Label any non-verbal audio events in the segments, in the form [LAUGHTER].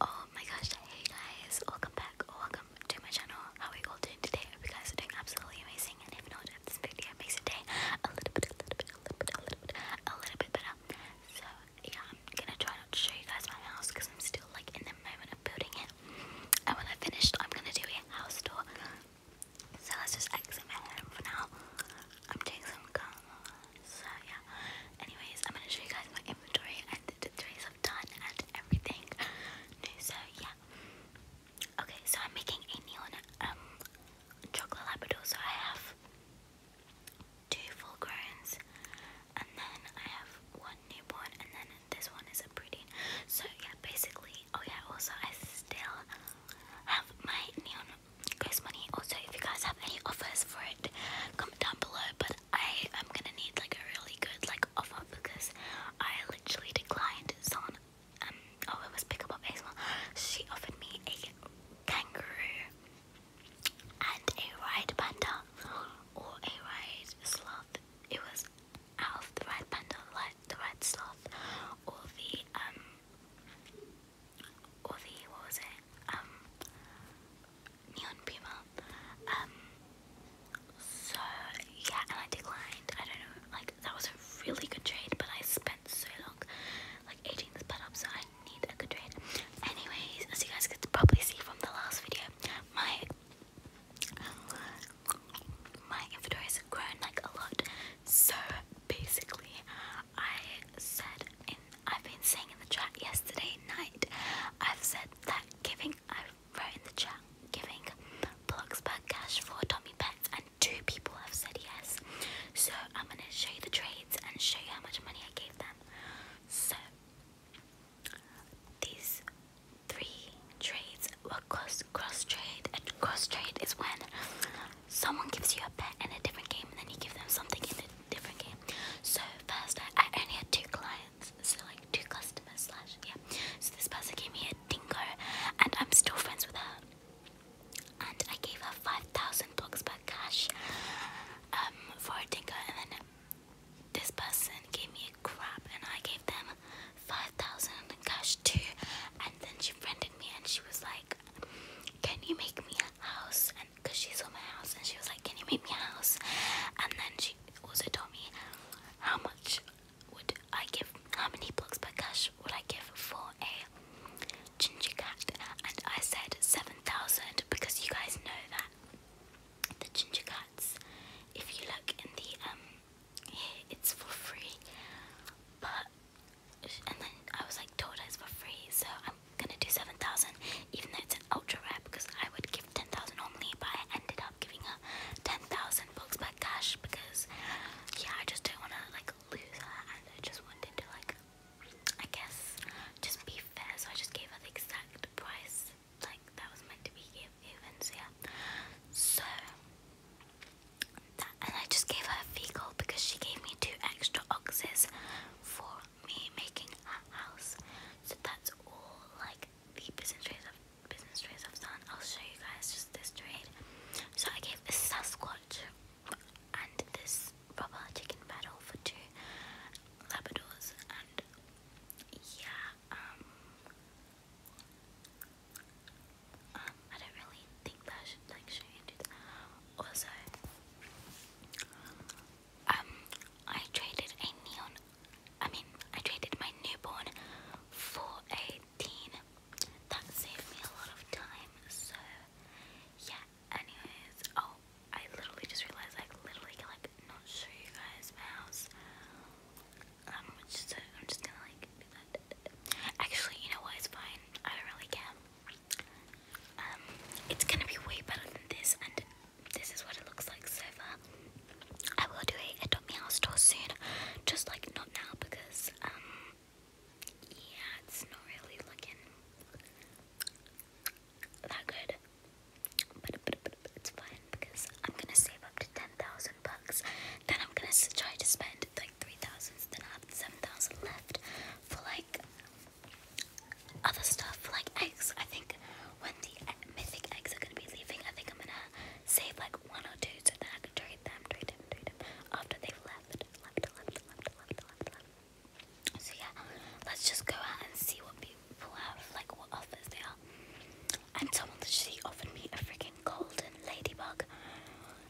Oh my gosh, hey guys, welcome back or welcome to my channel. How are you all doing today? I hope you guys are doing absolutely amazing. And if not, if this video makes your day a little bit, a little bit, a little bit, a little bit, a little bit better. So, yeah, I'm gonna try not to show you guys my house because I'm still like in the moment of building it. And when I finished, I'm gonna do a house tour. So let's just exit my home for now. I'm doing some karma. So yeah. Anyways, I'm gonna show you guys my inventory and the things I've done and everything new. So yeah. Okay, so I'm making a neon um chocolate labrador. So I have two full growns, and then I have one newborn, and then this one is a breeding. So yeah, basically. Oh yeah. Also, I still have my neon Grace Money. Also, if you guys have any offers for it, comment down below. But I am gonna need like a really good like offer because I literally declined someone. on. Um, oh, it was Pick Up Baseball. She offered me a kangaroo and a ride panda or a ride sloth. It was out of the ride panda, like the ride sloth or the um or the what was it? Um, Neon Puma. Um, so yeah, and I declined. I don't know, like that was a really good trade, but I spent so long, like aging this butt up, so I need a good trade. Anyways, as you guys could probably see from the last video, my my inventory has grown like a lot. So basically, I said in I've been saying in the chat yesterday night, I've said that giving, I wrote in the chat, giving Bloxburg cash for Tommy Pets, and two people have said yes. So I'm going to show you the trades and show you how much money I gave them. So these three trades were cross cross trade, and cross trade is when someone gives you a pet in a different game and then you give them something in a different game. So first I, only had two clients, so like two customers slash yeah. So this person gave me a dingo and I'm still friends with her. And I gave her five thousand bucks back cash um for a dingo and then this person gave me a crab and I gave them five thousand cash too and then she friended me and she was like can you make me a house? And because she saw my house and she was like, can you make me a house? And then she also told me how much would I give, how many blocks per cash would I give for a ginger cat? And I said 7,000 because you guys know that the ginger cats, if you look in the, um, here, it's for free. But and then I was like told it's for free, so I'm gonna do 7,000 even though it's an ultra rare because I would give 10,000 normally, but I ended up giving her 10,000 bucks back cash because yeah, I just don't want to like lose her and I just wanted to like, I guess, just be fair, so I just gave her the exact price like that was meant to be given, so yeah. So, and I just gave her a fecal because she gave me two extra oxes for me making a house. So that's all like the business trays of business trays I've done. I'll show you guys just this trade. So I gave this Sasquatch and this rubber chicken battle for two Labradors and yeah, um, um, I don't really think that I should like show you that. Also, um, I traded a neon. I mean, I traded my newborn for a teen. That saved me a lot of time. So, yeah. Anyways, oh, I literally just realized I literally like not show you guys my house. Um, which so I'm just gonna like do that. Actually, you know what? It's fine. I don't really care. Um, it's gonna be way better than this, and this is what it looks like so far. I will do a Adopt Me House tour soon, just like not now because um, yeah, it's not really looking that good. But, but, but, but it's fine because I'm gonna save up to ten thousand bucks. Then I'm gonna try to spend three thousands, then I have seven thousand left for like other stuff, like eggs. I think when the mythic eggs are gonna be leaving, I think I'm gonna save like one or two so that I can trade them, trade them, trade them after they've left, left, left, left, left, left, So yeah, let's just go out and see what people have, like what offers they are. And someone literally offered me a freaking golden ladybug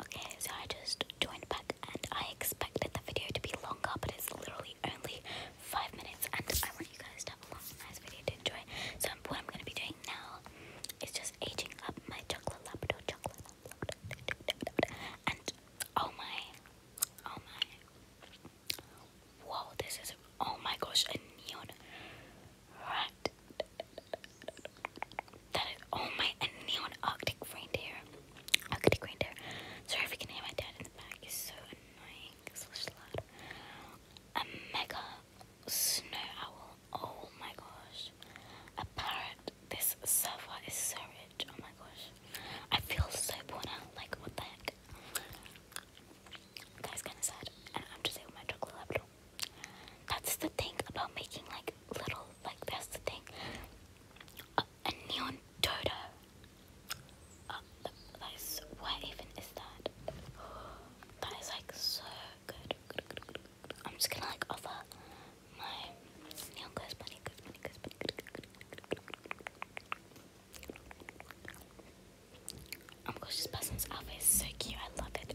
Okay, so I just joined back and I expected the video to be longer, but it's literally only five minutes, and I want you guys to have a long, nice video to enjoy. So, what I'm gonna be doing now is just aging up my chocolate labrador, chocolate labrador, and oh my, oh my, whoa, this is oh my gosh, a neon Right. That is oh my a neon Arctic reindeer. Arctic reindeer. Sorry if you can hear my dad in the back. He's so annoying. Such loud. A mega snow owl. Oh my gosh. A parrot. This server is so rich. Oh my gosh. I feel so bored Like what the heck? That's kind of sad. And I'm just eating my chocolate that's the thing about making like little like that's the thing. a neon turtle. Uh, that is what even is that? That is like so good. I'm just gonna like offer my neon ghost bunny, ghost bunny, ghost bunny. Good, Oh my gosh, this person's outfit so cute. I love it.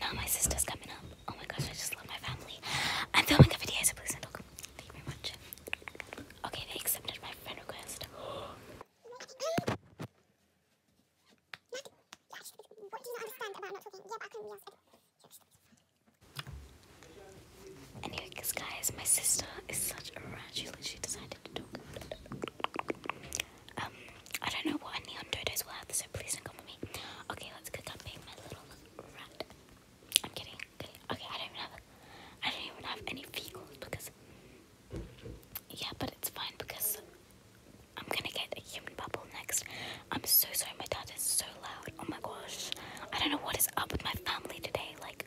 Now my sister's coming up. Oh my gosh, I just love my family. I'm filming a video, so please do Thank you very much. Okay, they accepted my friend request. Anyways, guys, my sister is such a rat. She decided to talk. Um, I don't know what a neon dodo is worth, so please don't come with me. Okay, let's cook up being my little rat. I'm kidding, i Okay, I don't even have I don't even have any vehicles because yeah, but it's fine because I'm gonna get a human bubble next. I'm so sorry, my dad is so loud. Oh my gosh. I don't know what is up with my family today. Like,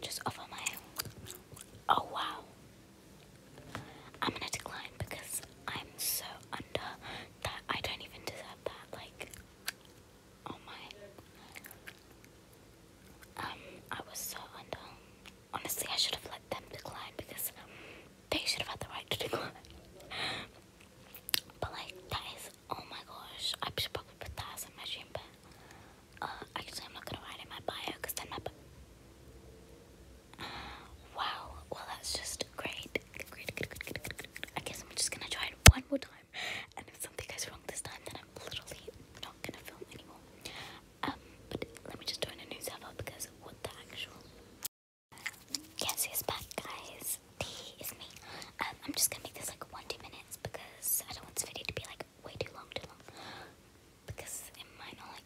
just over my oh wow I'm gonna decline because I'm so under that I don't even deserve that like oh my um I was so under honestly I should have let them decline because they should have had the right to decline [LAUGHS] but like that is Oh my gosh, I should probably put that in but uh, actually, I'm not gonna write in my bio because then my. [SIGHS] wow, well, that's just great. Great, good, good, I guess I'm just gonna try it one more time, and if something goes wrong this time, then I'm literally not gonna film anymore. Um, but let me just join a new server because what the actual. Yes, he's back, guys guys, is me. Um, I'm just gonna make this like one, two minutes because I don't want this video to be like way too long, too long. Because it might not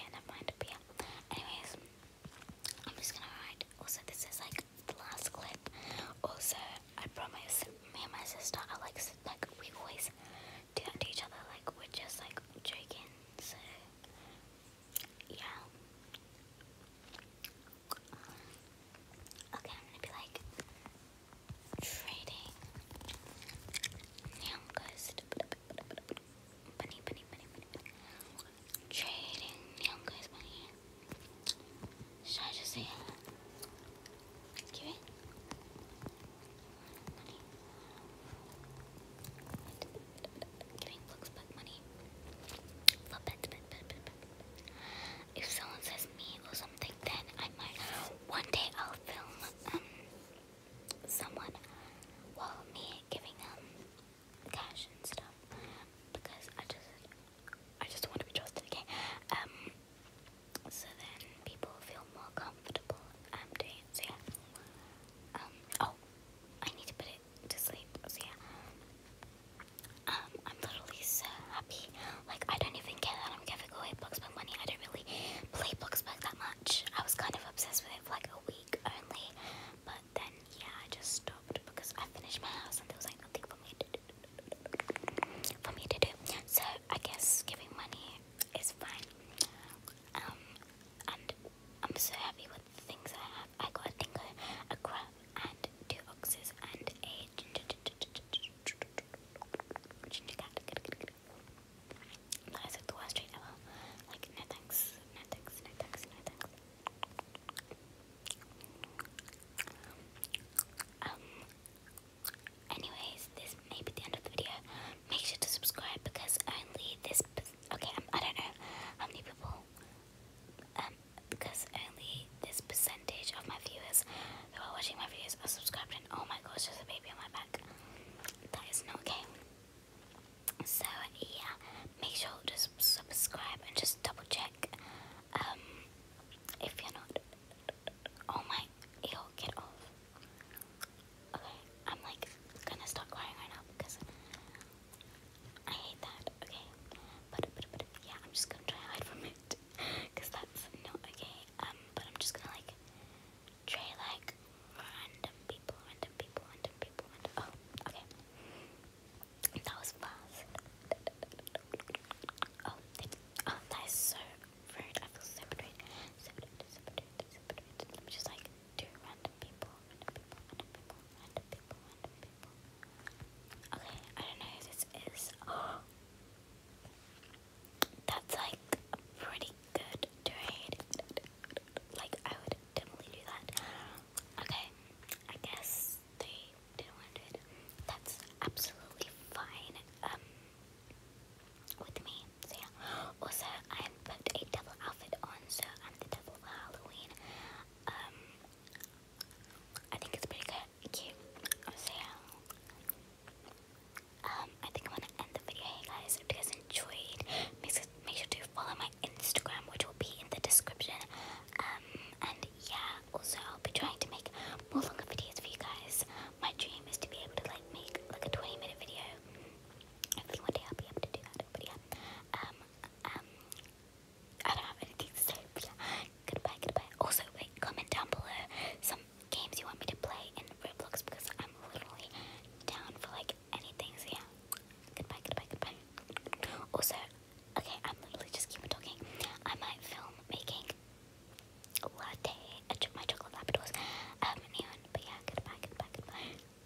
yeah, never mind, yeah. Anyways, I'm just gonna write. Also, this is like the last clip. Also, I promise me and my sister are like, like we always do that to each other. Like we're just like joking. yeah. Okay, I'm gonna be like trading. Now ghost. Bunny, bunny, bunny, bunny, Trading neon ghost bunny. Should I just say uh, Give it? If someone says me or something, then I might. One day I'll film um, someone while well, me giving them um, cash and stuff because I just I just want to be trusted. again. Um. So then people feel more comfortable um doing it. Um. Oh, I need to put it to sleep. So yeah. Um, I'm literally so happy. Like I don't even care that I'm giving away Bugs Bug money. I don't really play Bugs Bug that much. I was kind of obsessed with it for like a week only, but then yeah, I just stopped because I finished my house and there was like nothing for me to do. For me to do. So I guess giving money is fine. Um, and I'm so happy with things I have. I got a dingo, a crab, and two oxes, and a like no thanks, no thanks, no thanks, no thanks. Um, anyways, this may be the end of the video. Make sure to subscribe because only this. Okay, um, I don't know how many people um, because only this percentage of my viewers who are watching my videos are subscribed and oh my gosh there's a baby on my back that is not okay so yeah make sure to subscribe and just double check um if you're not oh my ew get off okay I'm like gonna start crying right now because I hate that, okay? yeah, I'm just gonna try to hide from it. Because [LAUGHS] that's not okay. Um, but I'm just gonna, like, try, like, random people, random people, random people, random. Oh, okay. That was fast. Oh, oh, that is so rude. I feel so betrayed. So betrayed, betrayed, betrayed. I'm just like, to random people, random people, random people, random people, random people. Okay, I don't know who this is. [GASPS] that's like a pretty good trade. Like I would definitely do that. Okay, I guess they didn't That's absolutely fine. Um, with me. yeah. [GASPS] Also, I put a devil outfit on, so I'm the devil for Halloween. Um, I think it's pretty good, cute. So um, um, I think I'm gonna end the video. guys, if you guys enjoyed, make make sure to follow my Instagram, which will be in the description. Um, and yeah, also I'll be trying to make more longer videos for you guys. My dream is to be able to like make like a 20 minute video. Hopefully one day I'll be able to do that. But yeah, um, um, I don't have anything to say. But yeah. Uh, goodbye, goodbye. Also, wait, comment down below some games you want me to play in Roblox because I'm literally down for like anything. So yeah. Goodbye, goodbye, goodbye. Also, okay, I'm literally just keep talking. I might film making latte, my chocolate labradors, um, But yeah, goodbye, goodbye, goodbye.